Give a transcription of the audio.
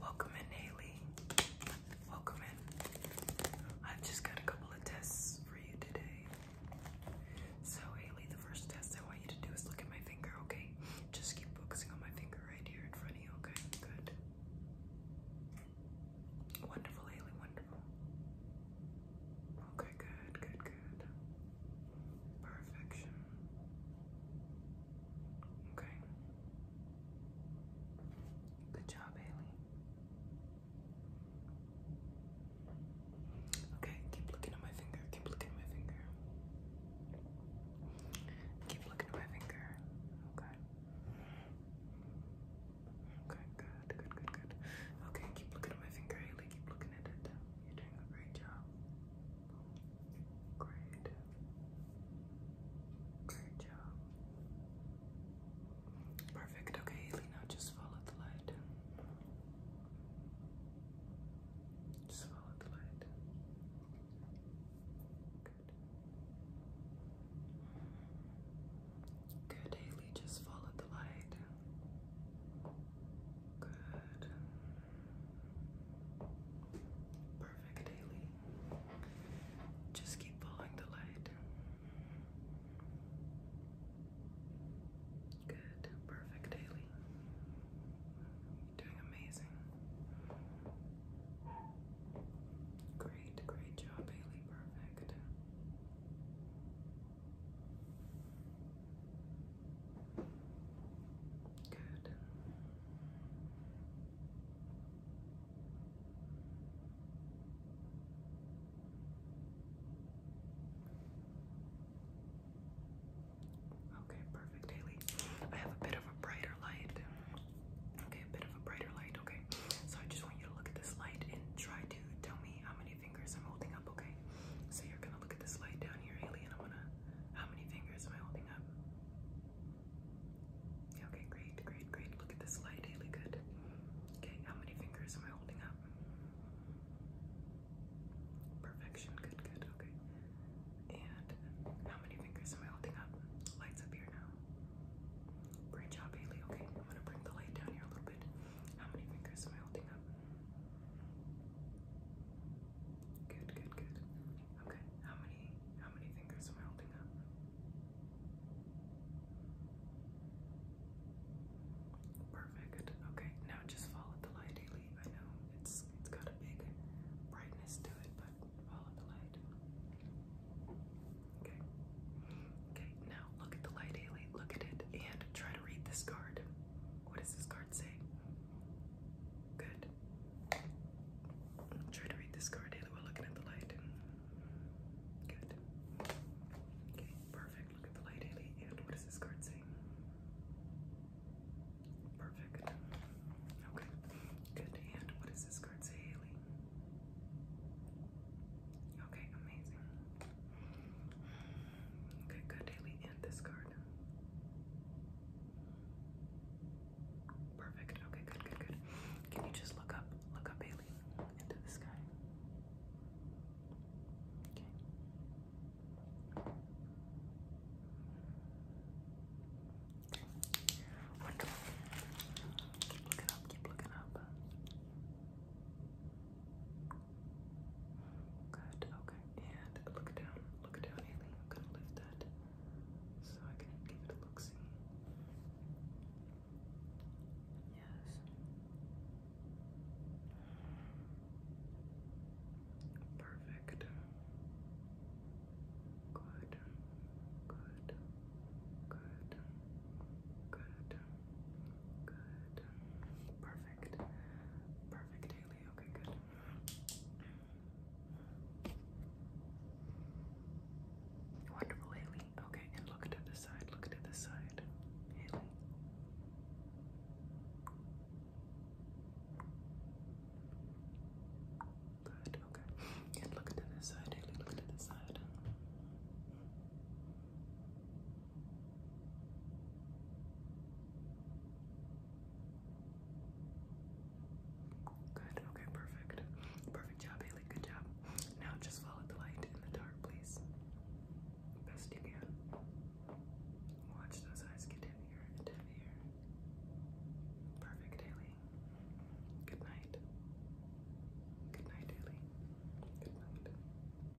Welcome in, Haley. Welcome in. i just got a couple of tests for you today. So, Haley, the first test I want you to do is look at my finger, okay? Just keep focusing on my finger right here in front of you, okay? Good. Wonderful, Haley, wonderful. Okay, good, good, good. Perfection. Okay. Good job, Haley. Okay, keep looking at my finger. Keep looking at my finger. Keep looking at my finger. Okay. Okay, good, good, good, good. Okay, keep looking at my finger, Haley. Keep looking at it. You're doing a great job. Great. Great job. Perfect. Okay, Elena, just follow the light. Just follow the light. Good. Good, Haley. Just follow the light. Good. Perfect, Haley. Just keep following the light. Good, perfect, Haley. doing amazing. Great, great job, Haley. Perfect. Good. Okay, perfect, Haley. I have a bit of a brighter light. Okay, a bit of a brighter light. Okay, so I just want you to look at this light and try to tell me how many fingers I'm holding up, okay? So you're gonna look at this light down here, Haley, and I'm gonna. How many fingers am I holding up? Okay, great, great, great. Look at this light, Haley, good. Okay, how many fingers am I holding up? Perfection, good, good, okay. And how many fingers am I holding up? Lights up here now. Great job, Haley. Okay, I'm gonna bring the light down here a little bit. How many fingers am I holding up? Good, good, good. Okay, how many how many fingers am I holding up? Perfect. Okay, now just follow the light, Haley. I know it's it's got a big brightness to it, but follow the light. Okay. Okay, now look at the light, Haley. Look at it and try to read this card. What does this card say? Good. Try to read this card either we're looking at the light. Good. Okay, perfect. Look at the light, Haley. And what does this card say? Perfect. Okay. Good. And what does this card say, Haley? Okay, amazing. Okay, good, Haley this card. Perfect. Okay, good, good, good. Can you just look up, look up Bailey into the sky? Okay. Wonderful. Keep looking up, keep looking up. Good, okay. And look down, look down, I'm gonna lift that so I can give it a look see. Yes. Perfect. Good. Good. Good. Good. Good. Perfect. Perfect daily. Okay, good. Wonderful, Haley. Okay, and look to this side. Look to this side. Haley. Good, okay. And look to this side, Haley. Look to this side. Good, okay, perfect. Perfect job, Haley. Good job. Now just follow the light in the dark, please. Best you can. Watch those eyes get heavier and heavier. Perfect, Haley. Good night. Good night, Haley. Good night.